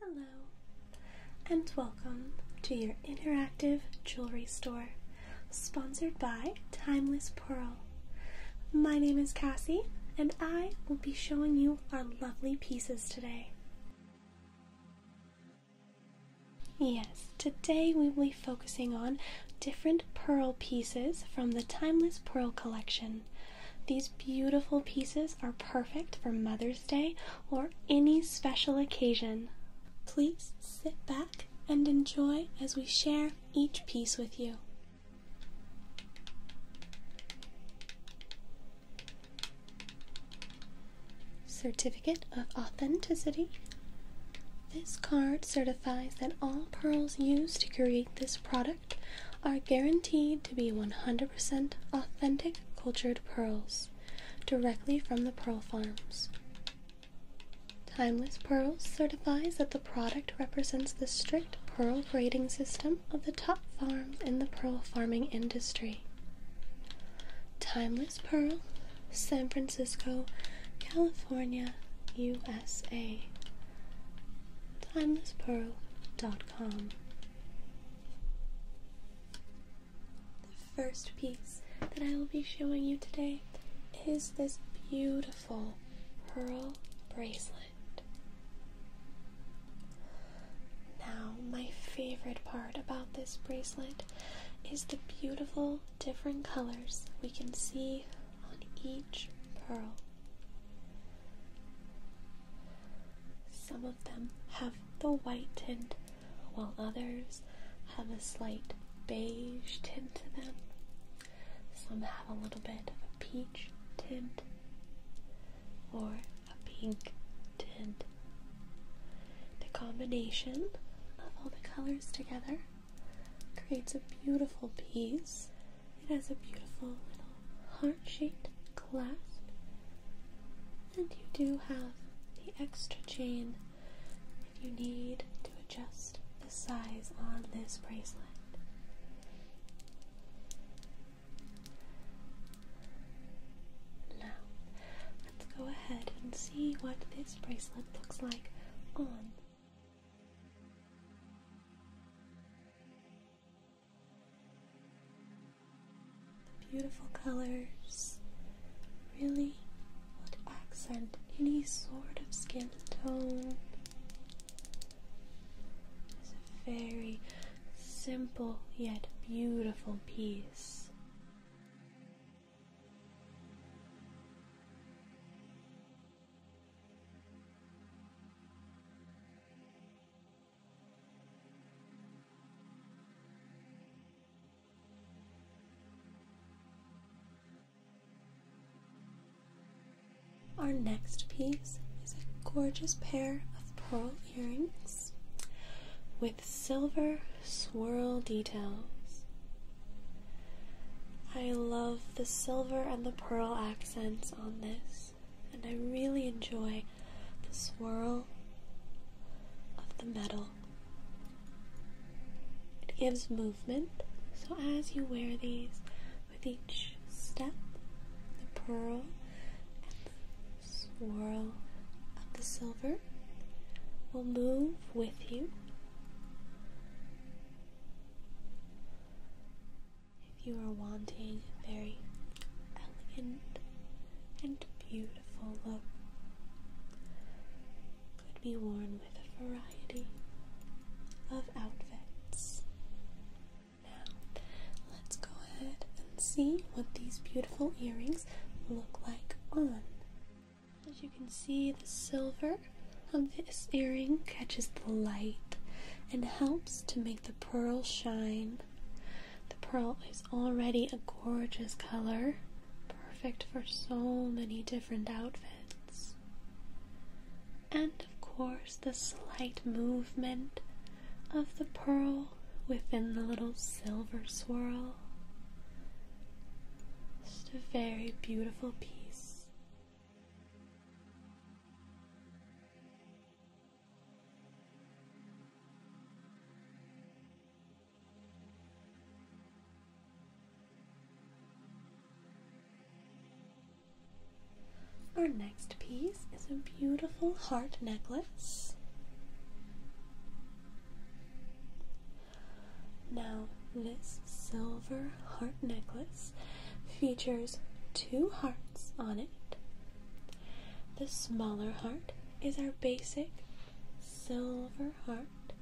Hello, and welcome to your interactive jewelry store, sponsored by Timeless Pearl. My name is Cassie, and I will be showing you our lovely pieces today. Yes, today we will focusing on different pearl pieces from the Timeless Pearl Collection. These beautiful pieces are perfect for Mother's Day or any special occasion. Please sit back and enjoy as we share each piece with you. Certificate of Authenticity this card certifies that all pearls used to create this product are guaranteed to be 100% authentic cultured pearls directly from the pearl farms. Timeless Pearls certifies that the product represents the strict pearl grading system of the top farms in the pearl farming industry. Timeless Pearl San Francisco, California, USA. TimelessPearl.com. The first piece that I will be showing you today is this beautiful pearl bracelet. Now, my favorite part about this bracelet is the beautiful different colors we can see on each pearl. Some of them have the white tint, while others have a slight beige tint to them. Some have a little bit of a peach tint or a pink tint. The combination of all the colors together Creates a beautiful piece. It has a beautiful little heart shaped clasp. And you do have the extra chain if you need to adjust the size on this bracelet. Now, let's go ahead and see what this bracelet looks like on the beautiful colors really accent any sort of skin tone. It's a very simple yet beautiful piece. Our next piece is a gorgeous pair of pearl earrings with silver swirl details. I love the silver and the pearl accents on this, and I really enjoy the swirl of the metal. It gives movement, so as you wear these with each step, the pearl and the swirl of the silver will move with you. If you are wanting a very elegant and beautiful look, could be worn with a variety of outfits. Now, let's go ahead and see what these beautiful earrings look like on. As you can see, the silver of this earring catches the light and helps to make the pearl shine. The pearl is already a gorgeous color, perfect for so many different outfits. And of course, the slight movement of the pearl within the little silver swirl. Just a very beautiful piece. Our next piece is a beautiful heart necklace. Now, this silver heart necklace features two hearts on it. The smaller heart is our basic silver heart,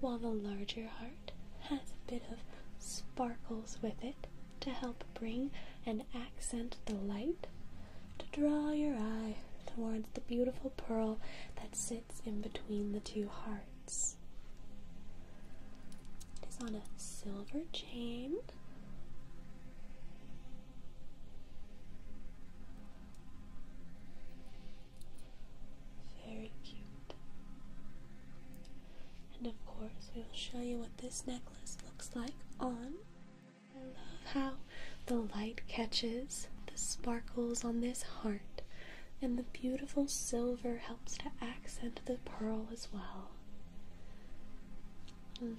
while the larger heart has a bit of sparkles with it to help bring and accent the light to draw your eye towards the beautiful pearl that sits sits in between the two hearts. It is on a silver chain. Very cute. And of course, we will show you what this necklace looks like on. I love how the light catches the sparkles on this heart and the beautiful silver helps to accent the pearl as well.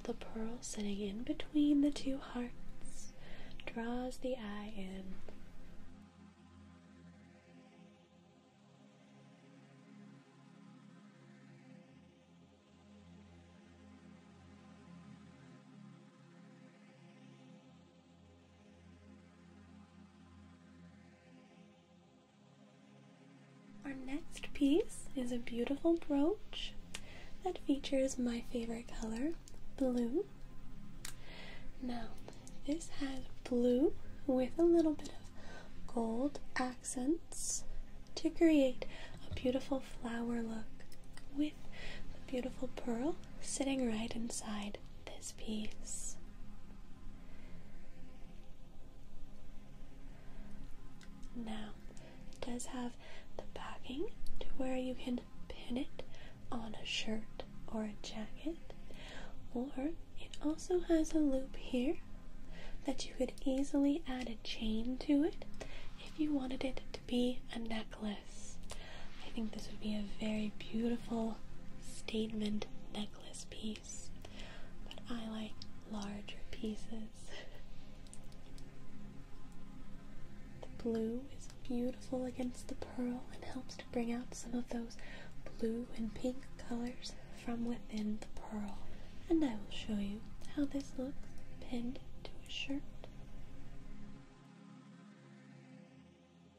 The pearl sitting in between the two hearts draws the eye in. Our next piece is a beautiful brooch that features my favorite color, blue. Now, this has blue with a little bit of gold accents to create a beautiful flower look with the beautiful pearl sitting right inside this piece. Now, does have the backing to where you can pin it on a shirt or a jacket, or it also has a loop here that you could easily add a chain to it if you wanted it to be a necklace. I think this would be a very beautiful statement necklace piece, but I like larger pieces. the blue is beautiful against the pearl and helps to bring out some of those blue and pink colors from within the pearl. And I will show you how this looks pinned to a shirt.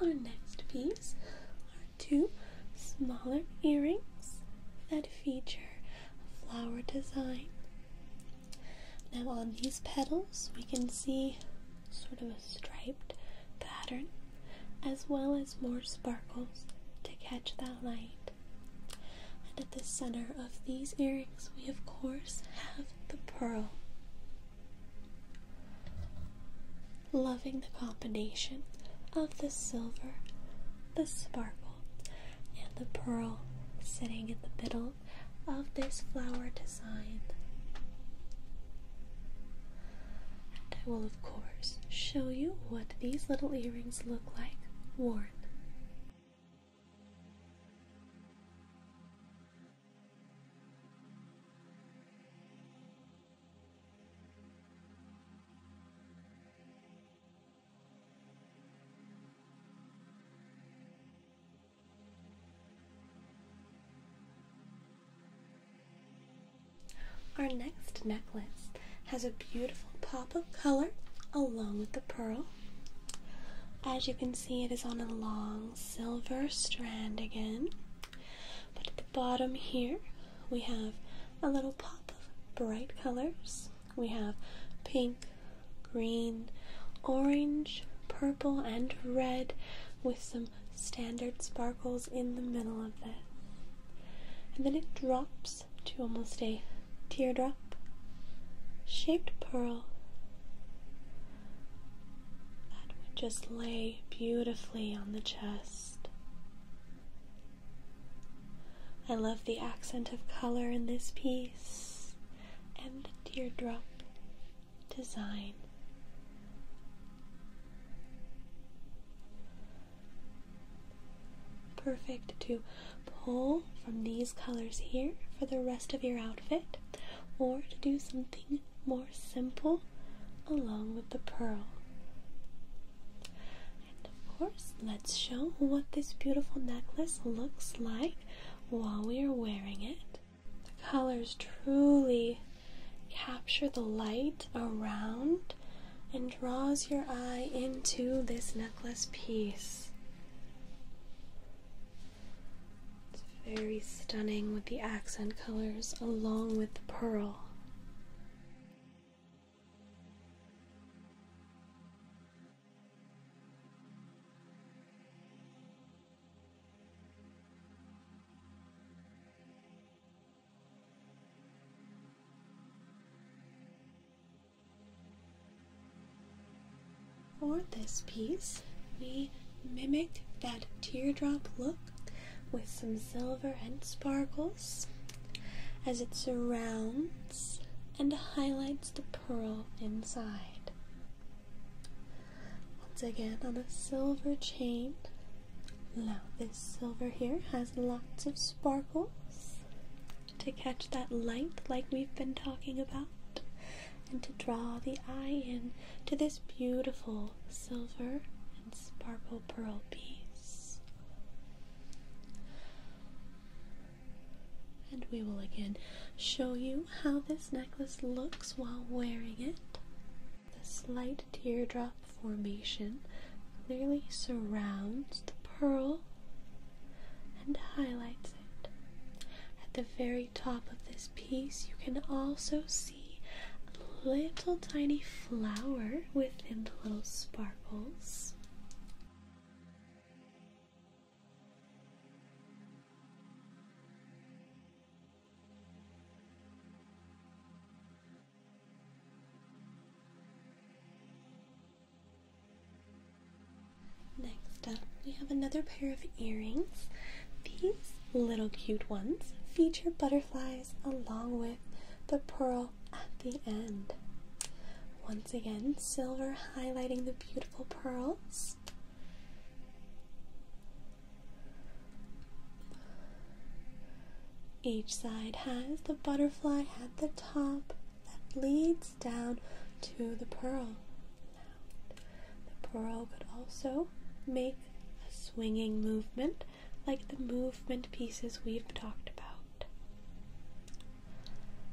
Our next piece are two smaller earrings that feature a flower design. Now, on these petals, we can see sort of a striped pattern as well as more sparkles to catch that light. And at the center of these earrings, we of course have the pearl. Loving the combination of the silver, the sparkle, and the pearl sitting in the middle of this flower design. And I will, of course, show you what these little earrings look like worn. Our next necklace has a beautiful pop of color along with the pearl. As you can see, it is on a long silver strand again. But at the bottom here, we have a little pop of bright colors. We have pink, green, orange, purple, and red with some standard sparkles in the middle of it. And then it drops to almost a teardrop shaped pearl that would just lay beautifully on the chest. I love the accent of color in this piece and the teardrop design. Perfect to pull from these colors here for the rest of your outfit or to do something more simple along with the pearl. And of course, let's show what this beautiful necklace looks like while we are wearing it. The colors truly capture the light around and draws your eye into this necklace piece. It's very stunning with the accent colors along with the pearl. For this piece, we mimicked that teardrop look with some silver and sparkles as it surrounds and highlights the pearl inside. Once again, on a silver chain. Now, this silver here has lots of sparkles to catch that light, like we've been talking about and to draw the eye in to this beautiful silver and sparkle pearl piece. And we will again show you how this necklace looks while wearing it. The slight teardrop formation clearly surrounds the pearl and highlights at the very top of this piece, you can also see a little tiny flower within the little sparkles. Next up, we have another pair of earrings. These little cute ones feature butterflies along with the pearl at the end. Once again, silver highlighting the beautiful pearls. Each side has the butterfly at the top that leads down to the pearl. The pearl could also make a swinging movement like the movement pieces we've talked about.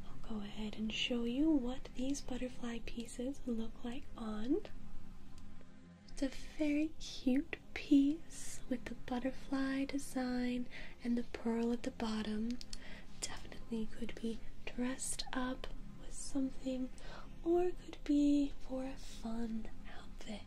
I'll go ahead and show you what these butterfly pieces look like on. It's a very cute piece with the butterfly design and the pearl at the bottom definitely could be dressed up with something or could be for a fun outfit.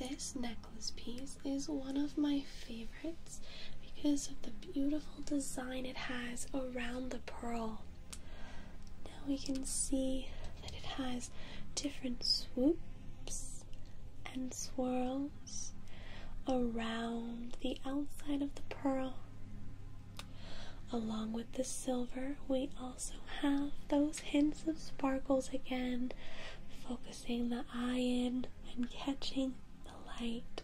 This necklace piece is one of my favorites because of the beautiful design it has around the pearl. Now we can see that it has different swoops and swirls around the outside of the pearl. Along with the silver, we also have those hints of sparkles again, focusing the eye in and catching the light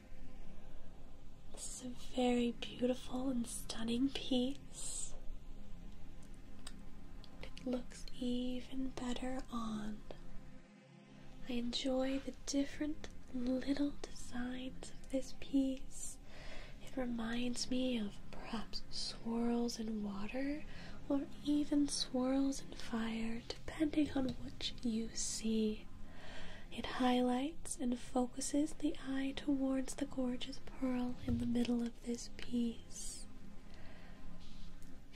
is a very beautiful and stunning piece. It looks even better on. I enjoy the different little designs of this piece. It reminds me of perhaps swirls in water or even swirls in fire, depending on which you see. It highlights and focuses the eye towards the gorgeous pearl in the middle of this piece.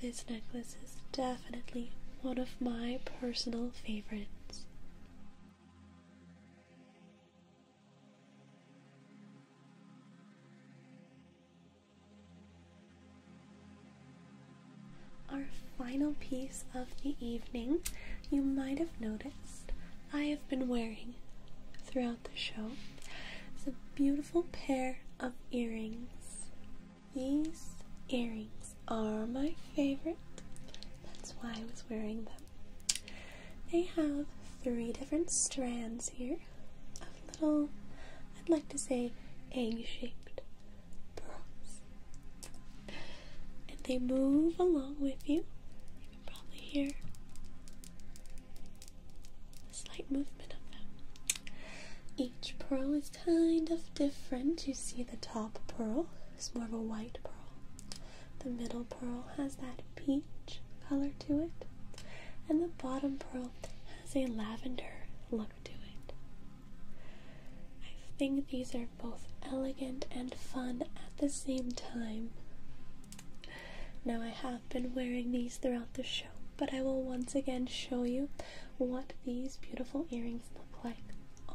This necklace is definitely one of my personal favorites. Our final piece of the evening. You might have noticed I have been wearing throughout the show is a beautiful pair of earrings. These earrings are my favorite. That's why I was wearing them. They have three different strands here of little, I'd like to say, egg shaped pearls and they move along with you. You can probably hear a slight movement of them. Each pearl is kind of different. You see, the top pearl is more of a white pearl. The middle pearl has that peach color to it, and the bottom pearl has a lavender look to it. I think these are both elegant and fun at the same time. Now, I have been wearing these throughout the show, but I will once again show you what these beautiful earrings look like on.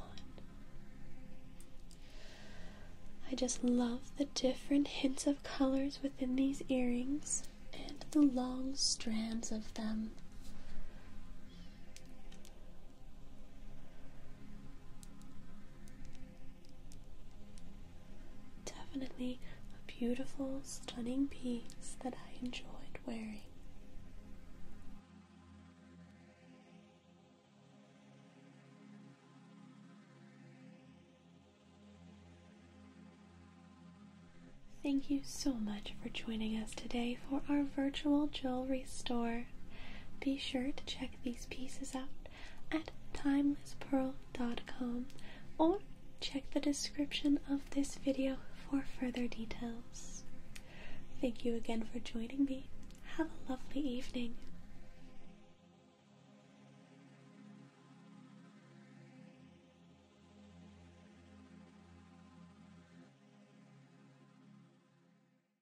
I just love the different hints of colors within these earrings and the long strands of them. Definitely a beautiful, stunning piece that I enjoyed wearing. Thank you so much for joining us today for our virtual jewelry store. Be sure to check these pieces out at timelesspearl.com or check the description of this video for further details. Thank you again for joining me. Have a lovely evening.